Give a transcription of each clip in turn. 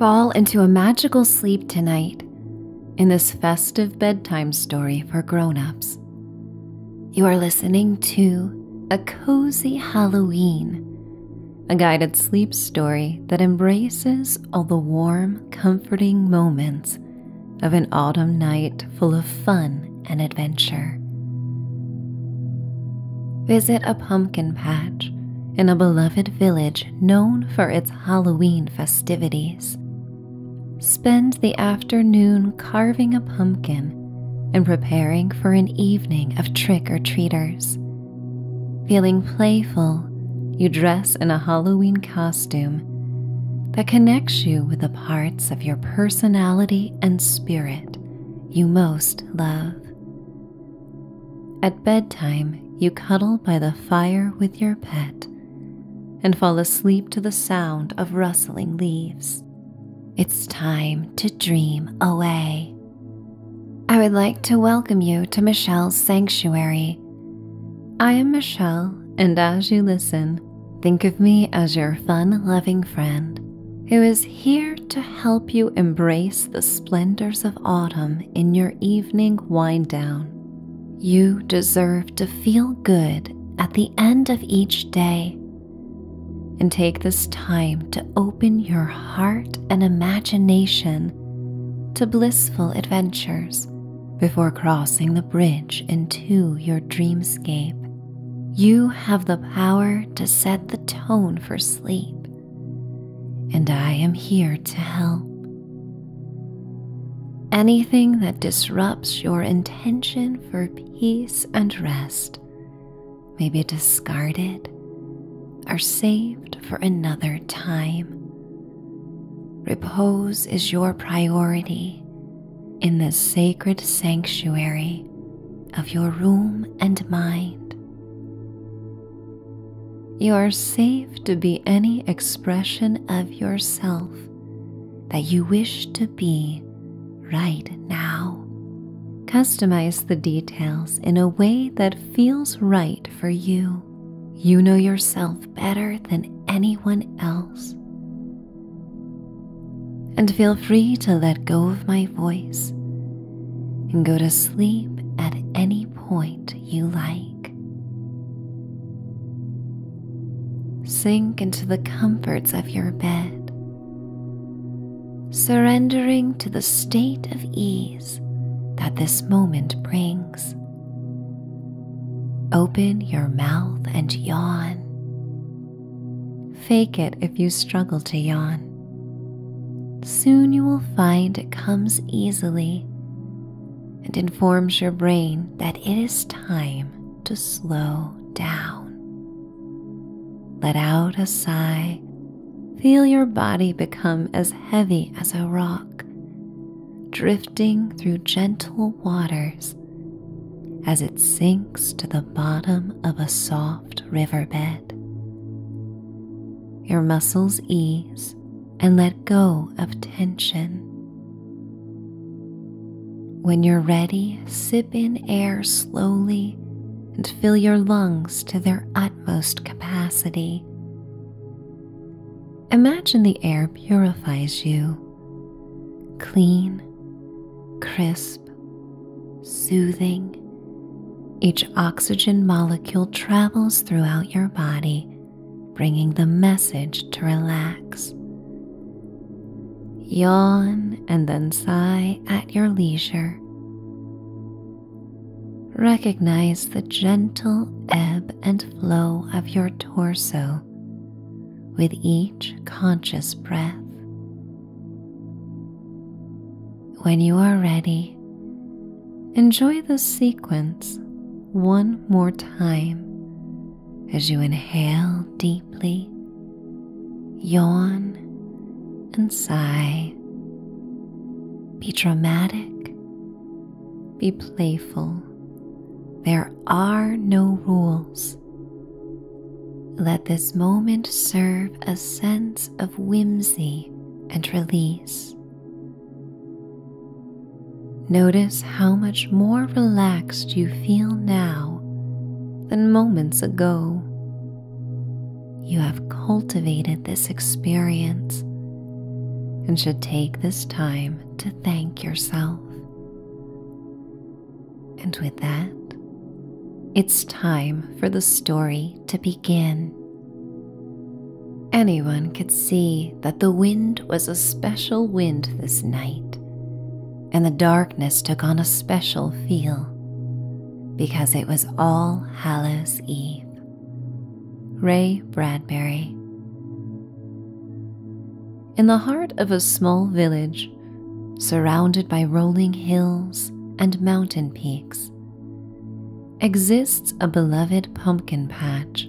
Fall into a magical sleep tonight in this festive bedtime story for grown-ups. You are listening to A Cozy Halloween, a guided sleep story that embraces all the warm, comforting moments of an autumn night full of fun and adventure. Visit pumpkin patch in a beloved village known for its Halloween festivities. Spend the afternoon carving a pumpkin and preparing for an evening of trick or treaters. Feeling playful, you dress in a Halloween costume that connects you with the parts of your personality and spirit you most love. At bedtime, you cuddle by the fire with your pet and fall asleep to the sound of rustling leaves. It's time to dream away. I would like to welcome you to Michelle's Sanctuary. I am Michelle, and as you listen, think of me as your fun loving friend who is here to help you embrace the splendors of autumn in your evening wind down. You deserve to feel good at the end of each day. And take this time to open your heart and imagination to blissful adventures before crossing the bridge into your dreamscape. You have the power to set the tone for sleep and I am here to help. Anything that disrupts your intention for peace and rest may be discarded or saved for another time. Repose is your priority in this sacred sanctuary of your room and mind. You are safe to be any expression of yourself that you wish to be right now. Customize the details in a way that feels right for you. You know yourself better than anyone else. And feel free to let go of my voice and go to sleep at any point you like. Sink into the comforts of your bed, surrendering to the state of ease that this moment brings. Open your mouth and yawn. Fake it if you struggle to yawn. Soon you will find it comes easily and informs your brain that it is time to slow down. Let out a sigh. Feel your body become as heavy as a rock, drifting through gentle waters as it sinks to the bottom of a soft riverbed. Your muscles ease and let go of tension. When you're ready, sip in air slowly and fill your lungs to their utmost capacity. Imagine the air purifies you. Clean, crisp, soothing, each oxygen molecule travels throughout your body, bringing the message to relax. Yawn and then sigh at your leisure. Recognize the gentle ebb and flow of your torso with each conscious breath. When you are ready, enjoy this sequence one more time as you inhale deeply, yawn, and sigh. Be dramatic, be playful. There are no rules. Let this moment serve a sense of whimsy and release. Notice how much more relaxed you feel now than moments ago. You have cultivated this experience and should take this time to thank yourself. And with that, it's time for the story to begin. Anyone could see that the wind was a special wind this night, and the darkness took on a special feel because it was All Hallows Eve. Ray Bradbury. In the heart of a small village, surrounded by rolling hills and mountain peaks, exists a beloved pumpkin patch.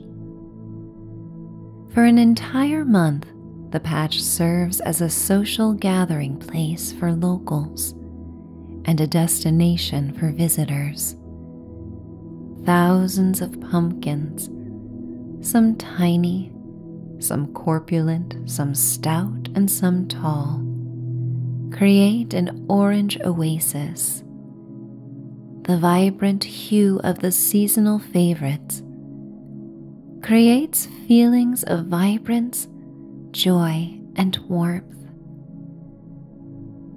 For an entire month, the patch serves as a social gathering place for locals and a destination for visitors. Thousands of pumpkins, some tiny, some corpulent, some stout, and some tall, create an orange oasis. The vibrant hue of the seasonal favorites creates feelings of vibrance, joy, and warmth.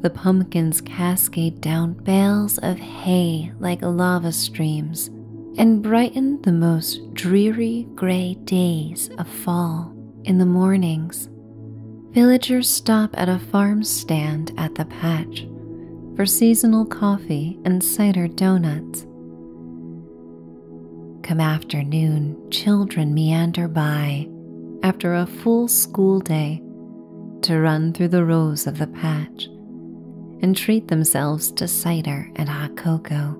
The pumpkins cascade down bales of hay like lava streams and brighten the most dreary gray days of fall in the mornings. Villagers stop at a farm stand at the patch for seasonal coffee and cider donuts. Come afternoon, children meander by after a full school day to run through the rows of the patch and treat themselves to cider and hot cocoa.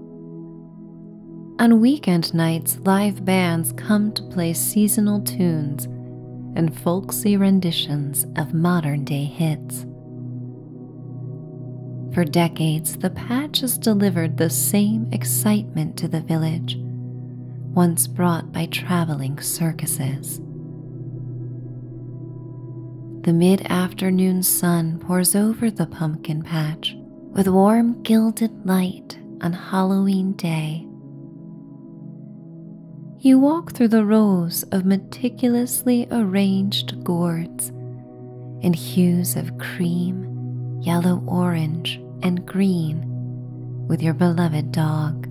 On weekend nights, live bands come to play seasonal tunes and folksy renditions of modern day hits. For decades, the patch has delivered the same excitement to the village, once brought by traveling circuses. The mid afternoon sun pours over the pumpkin patch, with warm gilded light on Halloween Day. You walk through the rows of meticulously arranged gourds in hues of cream, yellow orange, and green with your beloved dog.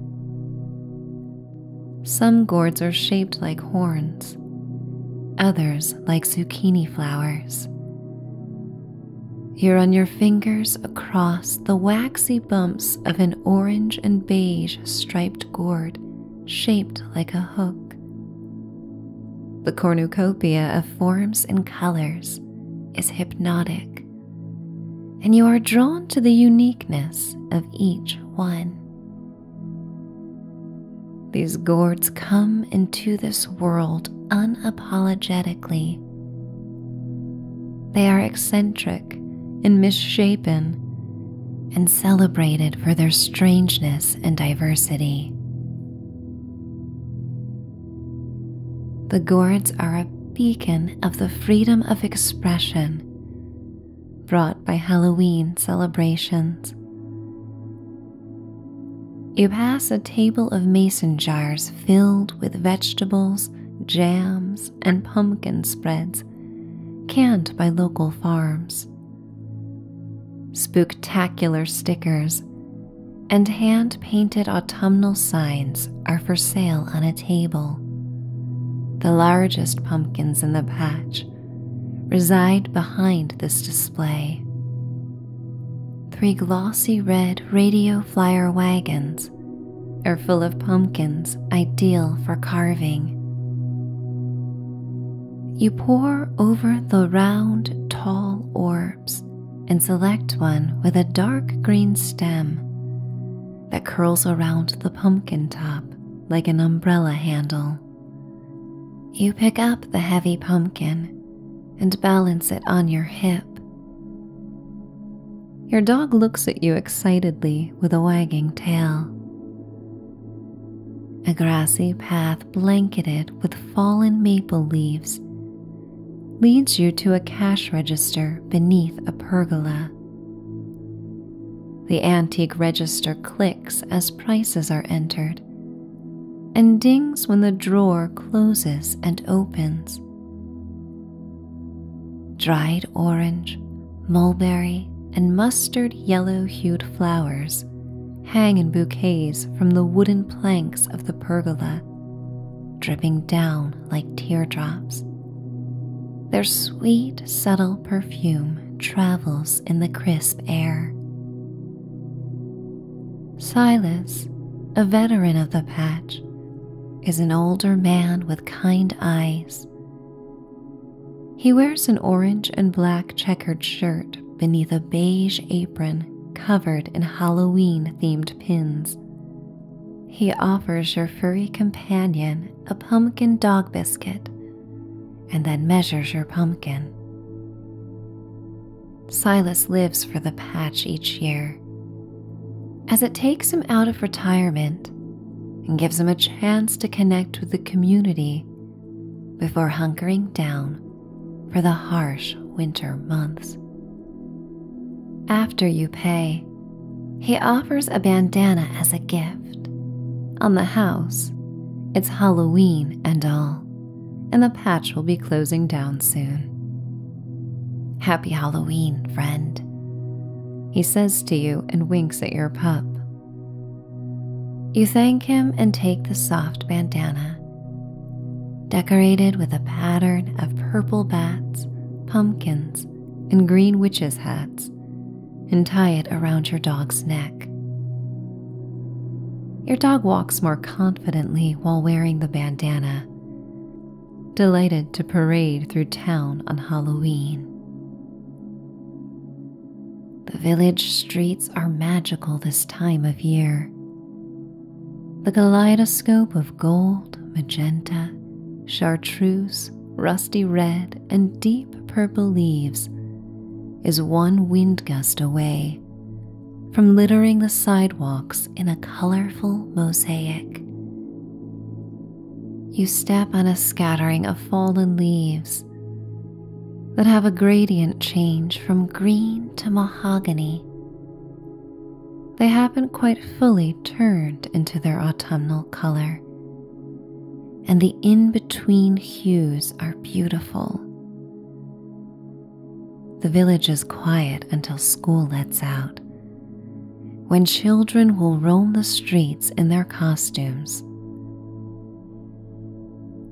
Some gourds are shaped like horns, others like zucchini flowers, you on your fingers across the waxy bumps of an orange and beige striped gourd shaped like a hook. The cornucopia of forms and colors is hypnotic, and you are drawn to the uniqueness of each one. These gourds come into this world unapologetically they are eccentric and misshapen and celebrated for their strangeness and diversity. The gourds are a beacon of the freedom of expression brought by Halloween celebrations. You pass a table of mason jars filled with vegetables, jams, and pumpkin spreads canned by local farms. spectacular stickers and hand painted autumnal signs are for sale on a table. The largest pumpkins in the patch reside behind this display. Three glossy red radio flyer wagons are full of pumpkins ideal for carving. You pour over the round, tall orbs and select one with a dark green stem that curls around the pumpkin top like an umbrella handle. You pick up the heavy pumpkin and balance it on your hip. Your dog looks at you excitedly with a wagging tail. A grassy path blanketed with fallen maple leaves leads you to a cash register beneath a pergola. The antique register clicks as prices are entered and dings when the drawer closes and opens. Dried orange, mulberry, and mustard yellow hued flowers hang in bouquets from the wooden planks of the pergola, dripping down like teardrops. Their sweet, subtle perfume travels in the crisp air. Silas, a veteran of the patch, is an older man with kind eyes. He wears an orange and black checkered shirt beneath a beige apron covered in Halloween themed pins. He offers your furry companion a pumpkin dog biscuit and then measures your pumpkin. Silas lives for the patch each year, as it takes him out of retirement and gives him a chance to connect with the community before hunkering down for the harsh winter months. After you pay, he offers a bandana as a gift. On the house, it's Halloween and all, and the patch will be closing down soon. Happy Halloween, friend, he says to you and winks at your pup. You thank him and take the soft bandana, decorated with a pattern of purple bats, pumpkins, and green witches' hats, and tie it around your dog's neck. Your dog walks more confidently while wearing the bandana, delighted to parade through town on Halloween. The village streets are magical this time of year. The kaleidoscope of gold, magenta, chartreuse, rusty red, and deep purple leaves is one wind gust away from littering the sidewalks in a colorful mosaic. You step on a scattering of fallen leaves that have a gradient change from green to mahogany. They haven't quite fully turned into their autumnal color, and the in between hues are beautiful. The village is quiet until school lets out, when children will roam the streets in their costumes.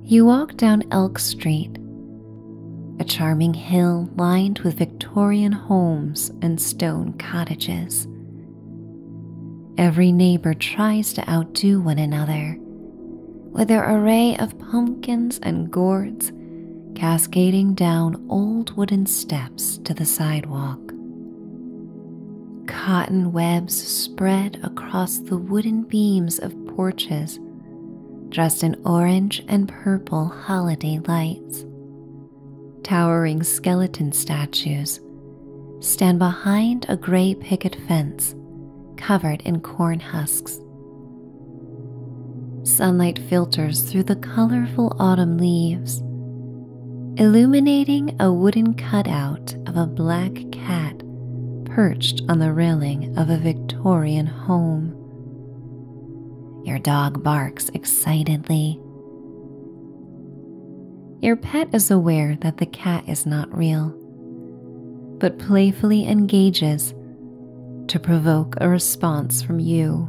You walk down Elk Street, a charming hill lined with Victorian homes and stone cottages. Every neighbor tries to outdo one another with their array of pumpkins and gourds cascading down old wooden steps to the sidewalk. Cotton webs spread across the wooden beams of porches dressed in orange and purple holiday lights. Towering skeleton statues stand behind a gray picket fence covered in corn husks Sunlight filters through the colorful autumn leaves, illuminating a wooden cutout of a black cat perched on the railing of a Victorian home. Your dog barks excitedly. Your pet is aware that the cat is not real, but playfully engages to provoke a response from you.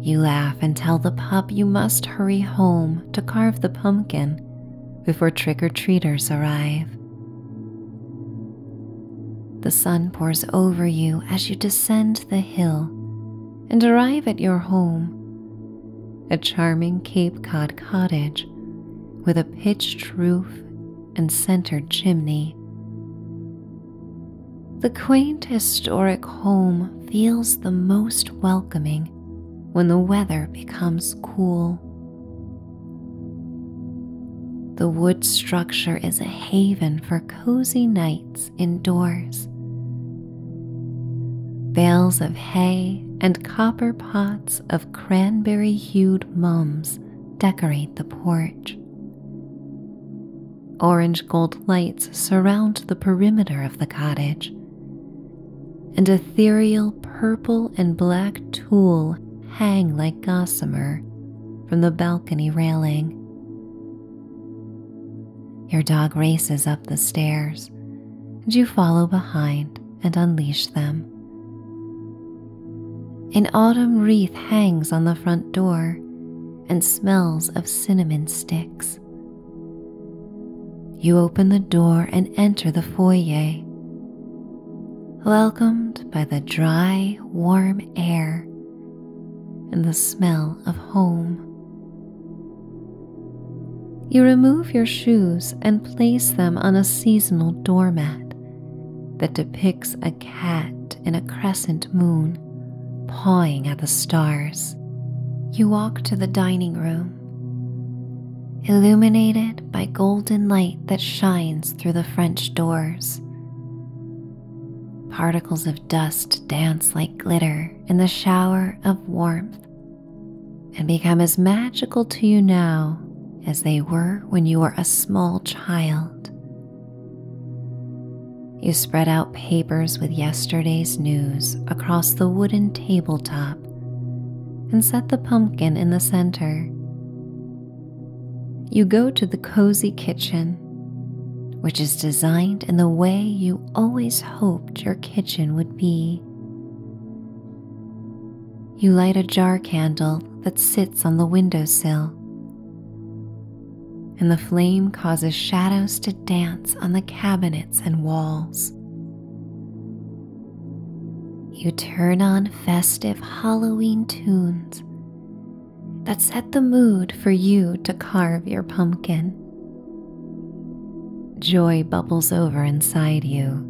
You laugh and tell the pup you must hurry home to carve the pumpkin before trick or treaters arrive. The sun pours over you as you descend the hill and arrive at your home, a charming Cape Cod cottage with a pitched roof and centered chimney. The quaint historic home feels the most welcoming when the weather becomes cool. The wood structure is a haven for cozy nights indoors. Bales of hay and copper pots of cranberry hued mums decorate the porch. Orange gold lights surround the perimeter of the cottage, and ethereal purple and black tulle hang like gossamer from the balcony railing. Your dog races up the stairs, and you follow behind and unleash them. An autumn wreath hangs on the front door and smells of cinnamon sticks. You open the door and enter the foyer, welcomed by the dry, warm air and the smell of home. You remove your shoes and place them on a seasonal doormat that depicts a cat in a crescent moon, pawing at the stars. You walk to the dining room. Illuminated by golden light that shines through the French doors. Particles of dust dance like glitter in the shower of warmth and become as magical to you now as they were when you were a small child. You spread out papers with yesterday's news across the wooden tabletop and set the pumpkin in the center. You go to the cozy kitchen, which is designed in the way you always hoped your kitchen would be. You light a jar candle that sits on the windowsill and the flame causes shadows to dance on the cabinets and walls. You turn on festive Halloween tunes that set the mood for you to carve your pumpkin. Joy bubbles over inside you.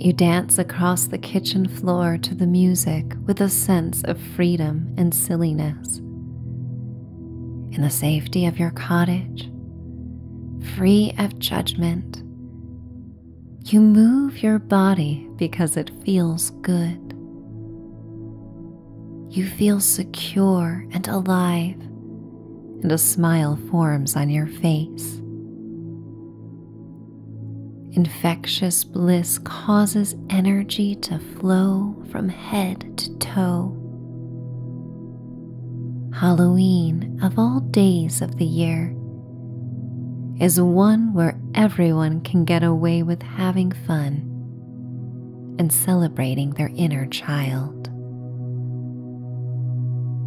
You dance across the kitchen floor to the music with a sense of freedom and silliness. In the safety of your cottage, free of judgment, you move your body because it feels good. You feel secure and alive, and a smile forms on your face. Infectious bliss causes energy to flow from head to toe. Halloween, of all days of the year, is one where everyone can get away with having fun and celebrating their inner child.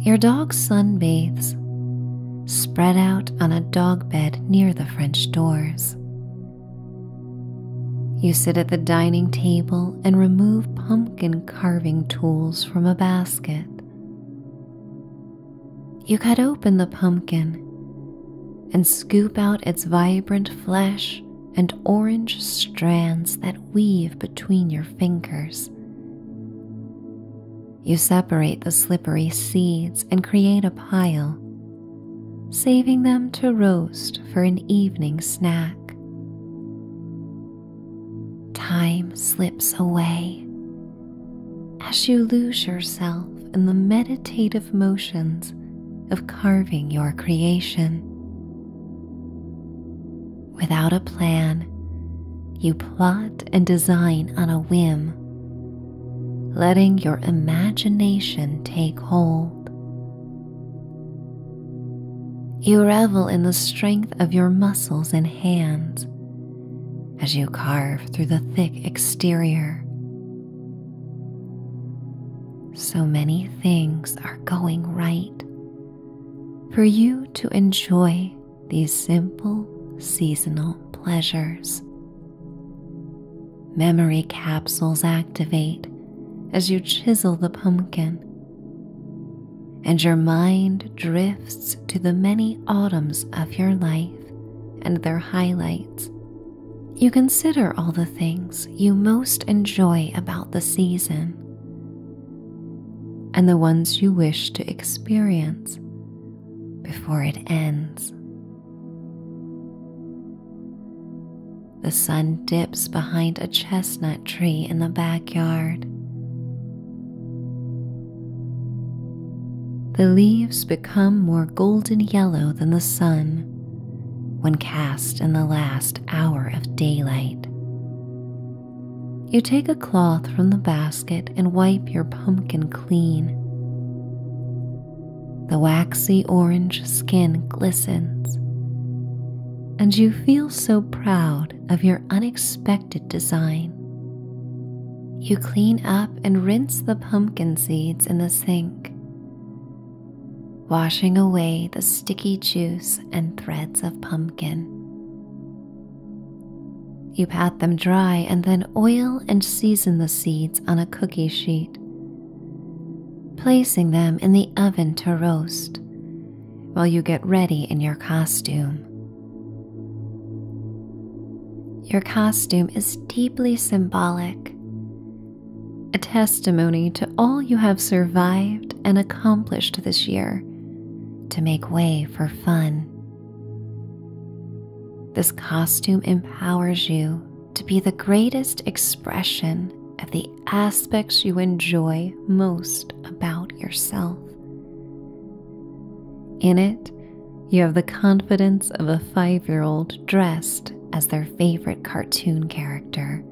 Your dog sunbathes spread out on a dog bed near the French doors. You sit at the dining table and remove pumpkin carving tools from a basket. You cut open the pumpkin and scoop out its vibrant flesh and orange strands that weave between your fingers. You separate the slippery seeds and create a pile, saving them to roast for an evening snack. Time slips away as you lose yourself in the meditative motions of carving your creation. Without a plan, you plot and design on a whim letting your imagination take hold. You revel in the strength of your muscles and hands as you carve through the thick exterior. So many things are going right for you to enjoy these simple seasonal pleasures. Memory capsules activate as you chisel the pumpkin, and your mind drifts to the many autumns of your life and their highlights. You consider all the things you most enjoy about the season and the ones you wish to experience before it ends. The sun dips behind a chestnut tree in the backyard. The leaves become more golden yellow than the sun when cast in the last hour of daylight. You take a cloth from the basket and wipe your pumpkin clean. The waxy orange skin glistens, and you feel so proud of your unexpected design. You clean up and rinse the pumpkin seeds in the sink, washing away the sticky juice and threads of pumpkin. You pat them dry and then oil and season the seeds on a cookie sheet, placing them in the oven to roast while you get ready in your costume. Your costume is deeply symbolic, a testimony to all you have survived and accomplished this year to make way for fun. This costume empowers you to be the greatest expression of the aspects you enjoy most about yourself. In it, you have the confidence of a five year old dressed as their favorite cartoon character.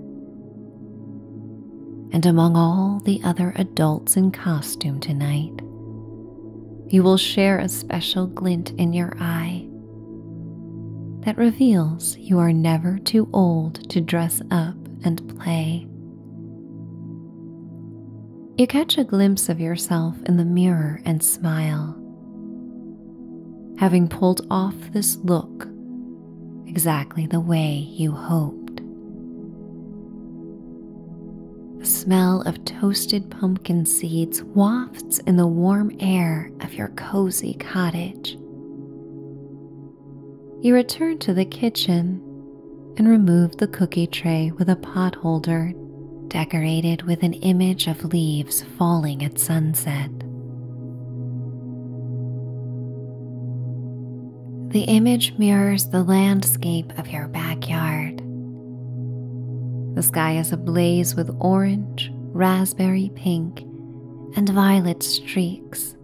And among all the other adults in costume tonight, you will share a special glint in your eye that reveals you are never too old to dress up and play. You catch a glimpse of yourself in the mirror and smile. Having pulled off this look exactly the way you hoped. The smell of toasted pumpkin seeds wafts in the warm air of your cozy cottage. You return to the kitchen and remove the cookie tray with a potholder decorated with an image of leaves falling at sunset. The image mirrors the landscape of your backyard the sky is ablaze with orange, raspberry pink, and violet streaks.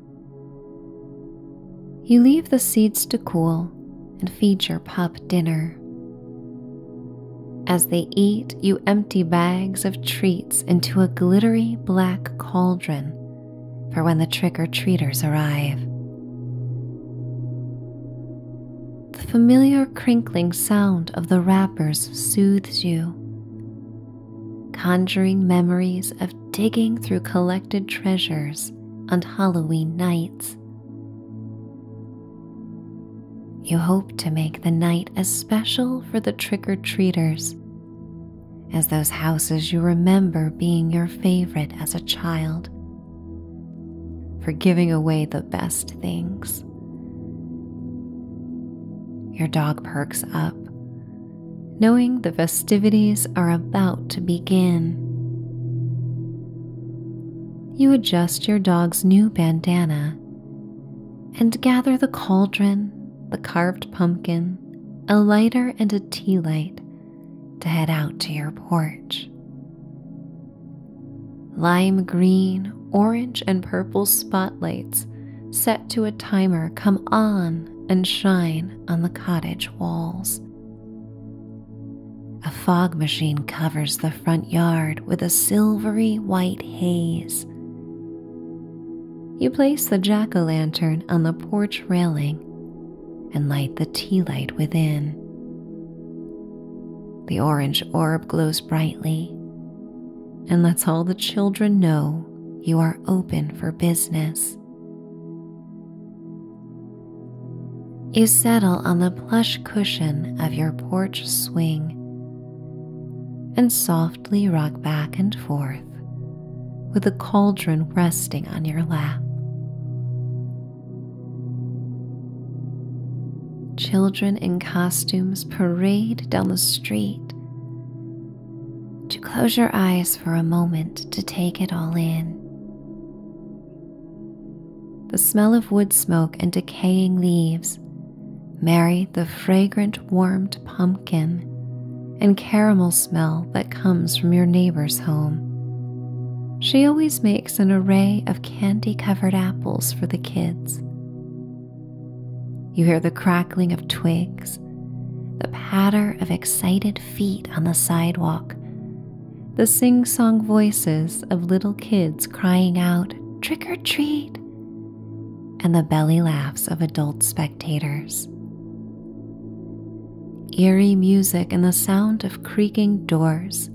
You leave the seeds to cool and feed your pup dinner. As they eat, you empty bags of treats into a glittery black cauldron for when the trick or treaters arrive. The familiar crinkling sound of the wrappers soothes you, conjuring memories of digging through collected treasures on Halloween nights. You hope to make the night as special for the trick or treaters as those houses you remember being your favorite as a child for giving away the best things. Your dog perks up, knowing the festivities are about to begin. You adjust your dog's new bandana and gather the cauldron, the carved pumpkin, a lighter, and a tea light to head out to your porch. Lime green, orange, and purple spotlights set to a timer come on and shine on the cottage walls. A fog machine covers the front yard with a silvery white haze. You place the jack o' lantern on the porch railing and light the tea light within. The orange orb glows brightly and lets all the children know you are open for business. You settle on the plush cushion of your porch swing and softly rock back and forth with the cauldron resting on your lap. Children in costumes parade down the street. To close your eyes for a moment to take it all in. The smell of wood smoke and decaying leaves marry the fragrant warmed pumpkin and caramel smell that comes from your neighbor's home. She always makes an array of candy covered apples for the kids. You hear the crackling of twigs, the patter of excited feet on the sidewalk, the sing song voices of little kids crying out, Trick or treat! and the belly laughs of adult spectators. Eerie music and the sound of creaking doors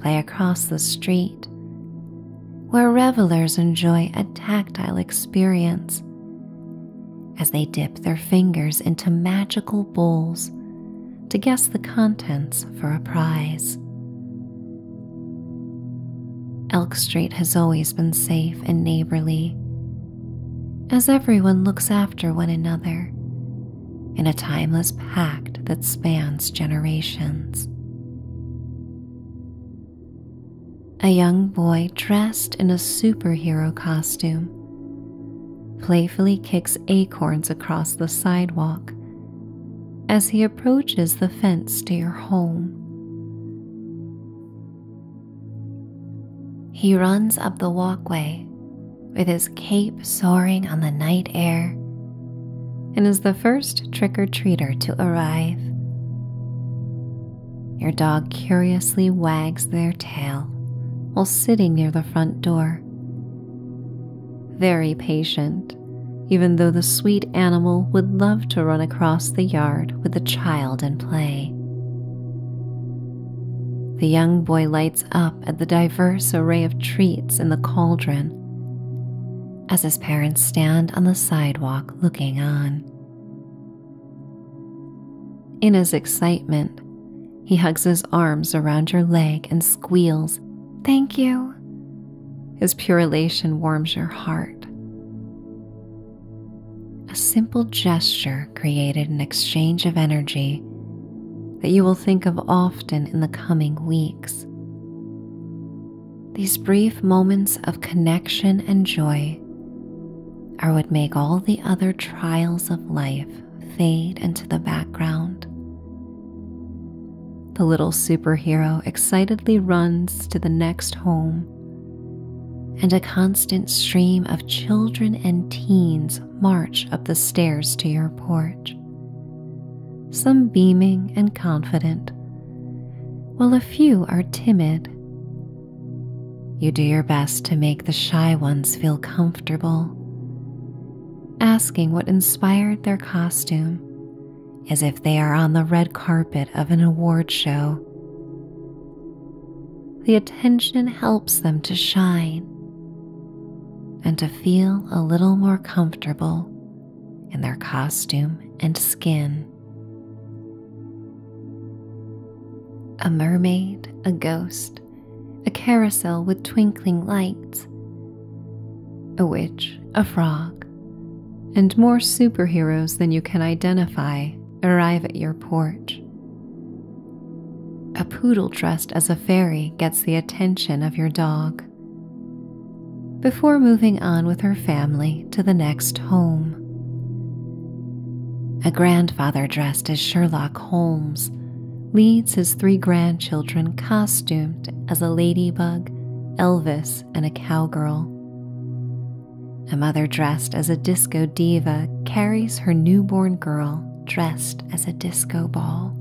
play across the street, where revelers enjoy a tactile experience as they dip their fingers into magical bowls to guess the contents for a prize. Elk Street has always been safe and neighborly, as everyone looks after one another in a timeless pact that spans generations. A young boy dressed in a superhero costume playfully kicks acorns across the sidewalk as he approaches the fence to your home. He runs up the walkway with his cape soaring on the night air and is the first trick or treater to arrive. Your dog curiously wags their tail while sitting near the front door. Very patient, even though the sweet animal would love to run across the yard with the child and play. The young boy lights up at the diverse array of treats in the cauldron as his parents stand on the sidewalk looking on. In his excitement, he hugs his arms around your leg and squeals, Thank you. His purulation warms your heart. A simple gesture created an exchange of energy that you will think of often in the coming weeks. These brief moments of connection and joy are what make all the other trials of life fade into the background. The little superhero excitedly runs to the next home, and a constant stream of children and teens march up the stairs to your porch some beaming and confident, while a few are timid. You do your best to make the shy ones feel comfortable, asking what inspired their costume as if they are on the red carpet of an award show. The attention helps them to shine and to feel a little more comfortable in their costume and skin. A mermaid, a ghost, a carousel with twinkling lights, a witch, a frog, and more superheroes than you can identify arrive at your porch. A poodle dressed as a fairy gets the attention of your dog before moving on with her family to the next home. A grandfather dressed as Sherlock Holmes leads his three grandchildren costumed as a ladybug, Elvis, and a cowgirl. A mother dressed as a disco diva carries her newborn girl dressed as a disco ball.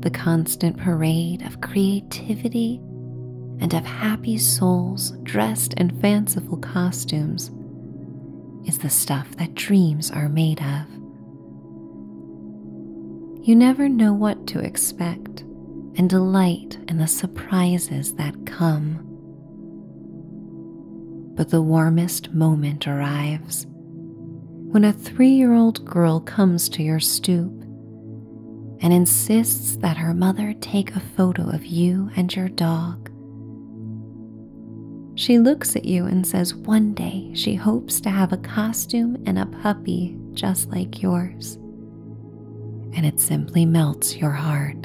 The constant parade of creativity and of happy souls dressed in fanciful costumes is the stuff that dreams are made of. You never know what to expect and delight in the surprises that come. But the warmest moment arrives when a three year old girl comes to your stoop and insists that her mother take a photo of you and your dog. She looks at you and says one day she hopes to have a costume and a puppy just like yours. And it simply melts your heart.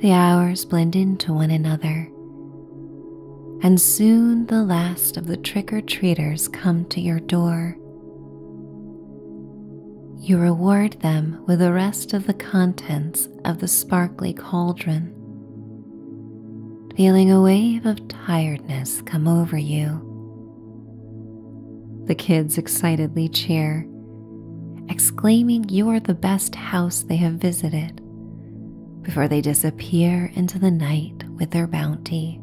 The hours blend into one another and soon the last of the trick or treaters come to your door. You reward them with the rest of the contents of the sparkly cauldron. Feeling a wave of tiredness come over you. The kids excitedly cheer, exclaiming you are the best house they have visited before they disappear into the night with their bounty.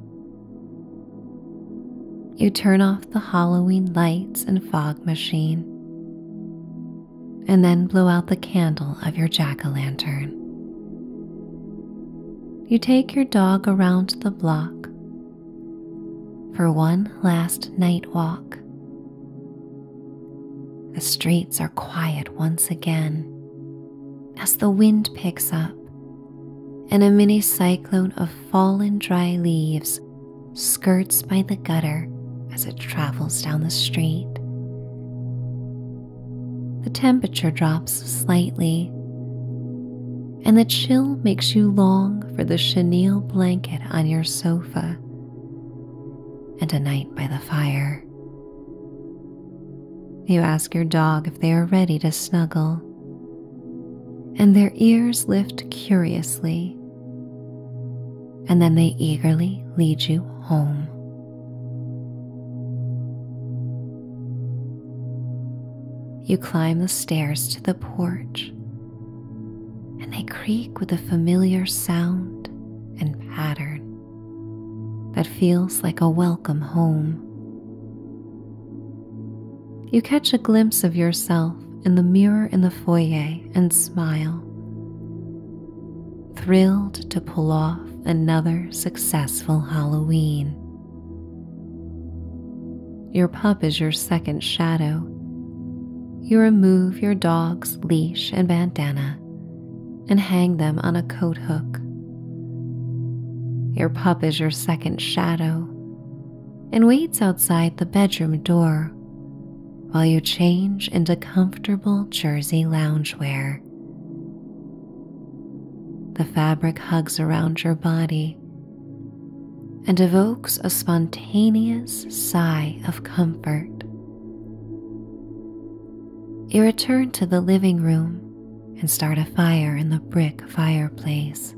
You turn off the Halloween lights and fog machine, and then blow out the candle of your jack o' lantern. You take your dog around the block for one last night walk the streets are quiet once again as the wind picks up and a mini cyclone of fallen dry leaves skirts by the gutter as it travels down the street. The temperature drops slightly, and the chill makes you long for the chenille blanket on your sofa and a night by the fire. You ask your dog if they are ready to snuggle, and their ears lift curiously, and then they eagerly lead you home. You climb the stairs to the porch and they creak with a familiar sound and pattern that feels like a welcome home. You catch a glimpse of yourself in the mirror in the foyer and smile, thrilled to pull off another successful Halloween. Your pup is your second shadow. You remove your dog's leash and bandana and hang them on a coat hook. Your pup is your second shadow and waits outside the bedroom door while you change into comfortable jersey loungewear. The fabric hugs around your body and evokes a spontaneous sigh of comfort. You return to the living room and start a fire in the brick fireplace.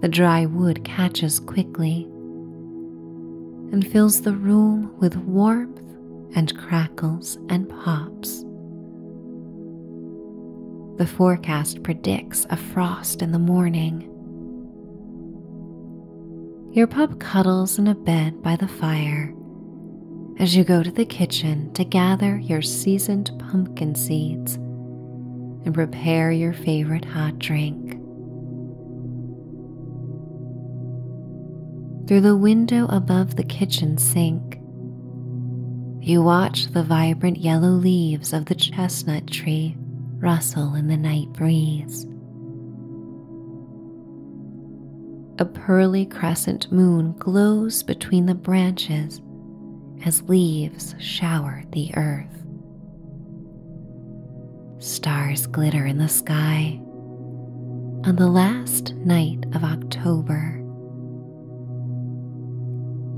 The dry wood catches quickly and fills the room with warmth and crackles and pops. The forecast predicts a frost in the morning. Your pup cuddles in a bed by the fire as you go to the kitchen to gather your seasoned pumpkin seeds and prepare your favorite hot drink. Through the window above the kitchen sink, you watch the vibrant yellow leaves of the chestnut tree rustle in the night breeze. A pearly crescent moon glows between the branches as leaves shower the earth. Stars glitter in the sky on the last night of October.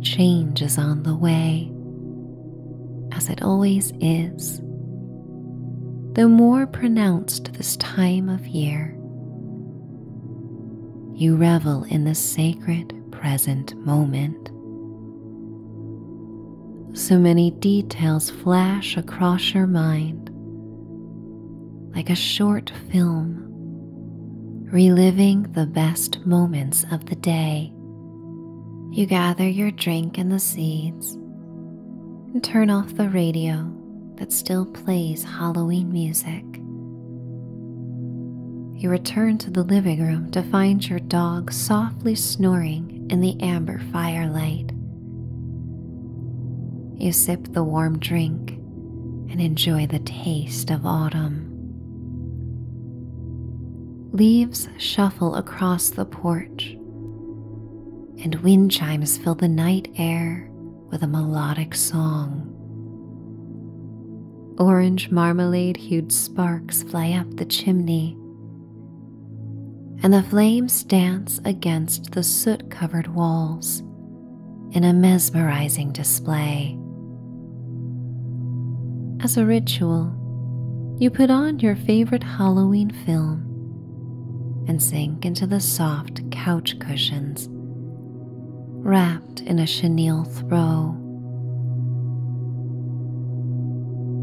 Change is on the way, as it always is the more pronounced this time of year. You revel in the sacred present moment. So many details flash across your mind like a short film, reliving the best moments of the day you gather your drink and the seeds and turn off the radio that still plays Halloween music. You return to the living room to find your dog softly snoring in the amber firelight. You sip the warm drink and enjoy the taste of autumn. Leaves shuffle across the porch and wind chimes fill the night air with a melodic song. Orange marmalade hued sparks fly up the chimney, and the flames dance against the soot covered walls in a mesmerizing display. As a ritual, you put on your favorite Halloween film and sink into the soft couch cushions wrapped in a chenille throw.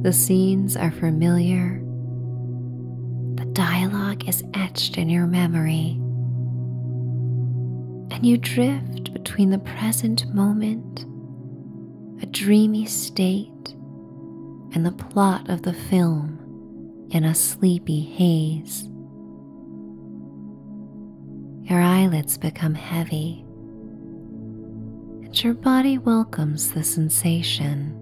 The scenes are familiar, the dialogue is etched in your memory, and you drift between the present moment, a dreamy state and the plot of the film in a sleepy haze. Your eyelids become heavy, and your body welcomes the sensation.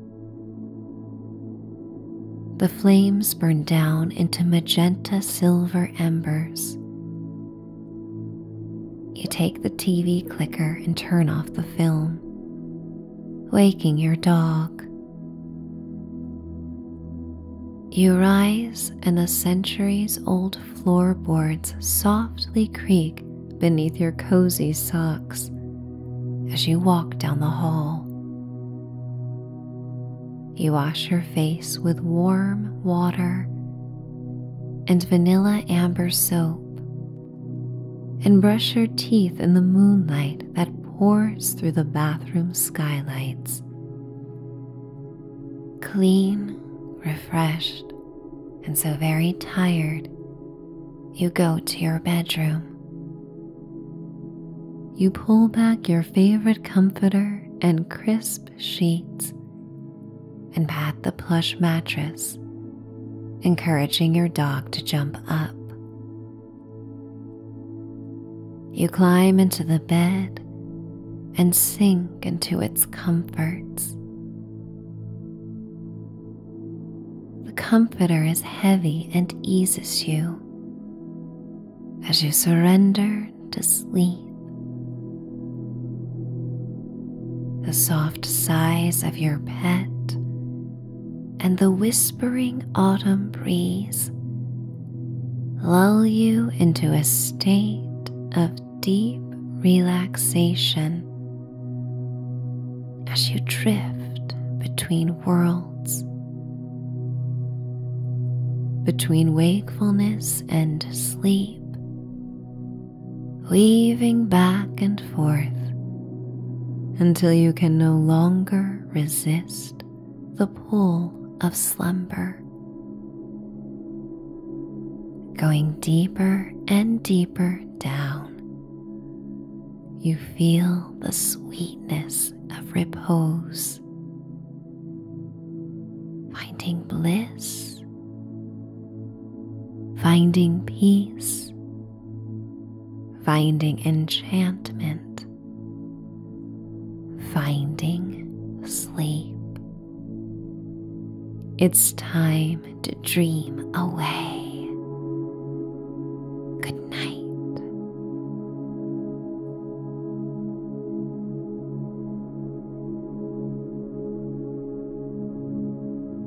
The flames burn down into magenta silver embers. You take the TV clicker and turn off the film waking your dog. You rise, and the centuries old floorboards softly creak beneath your cozy socks as you walk down the hall. You wash your face with warm water and vanilla amber soap and brush your teeth in the moonlight that pours through the bathroom skylights. Clean, refreshed, and so very tired, you go to your bedroom. You pull back your favorite comforter and crisp sheets and pat the plush mattress encouraging your dog to jump up. You climb into the bed and sink into its comforts. The comforter is heavy and eases you as you surrender to sleep. The soft sighs of your pet and the whispering autumn breeze lull you into a state of deep relaxation as you drift between worlds, between wakefulness and sleep weaving back and forth until you can no longer resist the pull of slumber. Going deeper and deeper down, you feel the sweetness of repose, finding bliss, finding peace finding enchantment, finding sleep. It's time to dream away. Good night.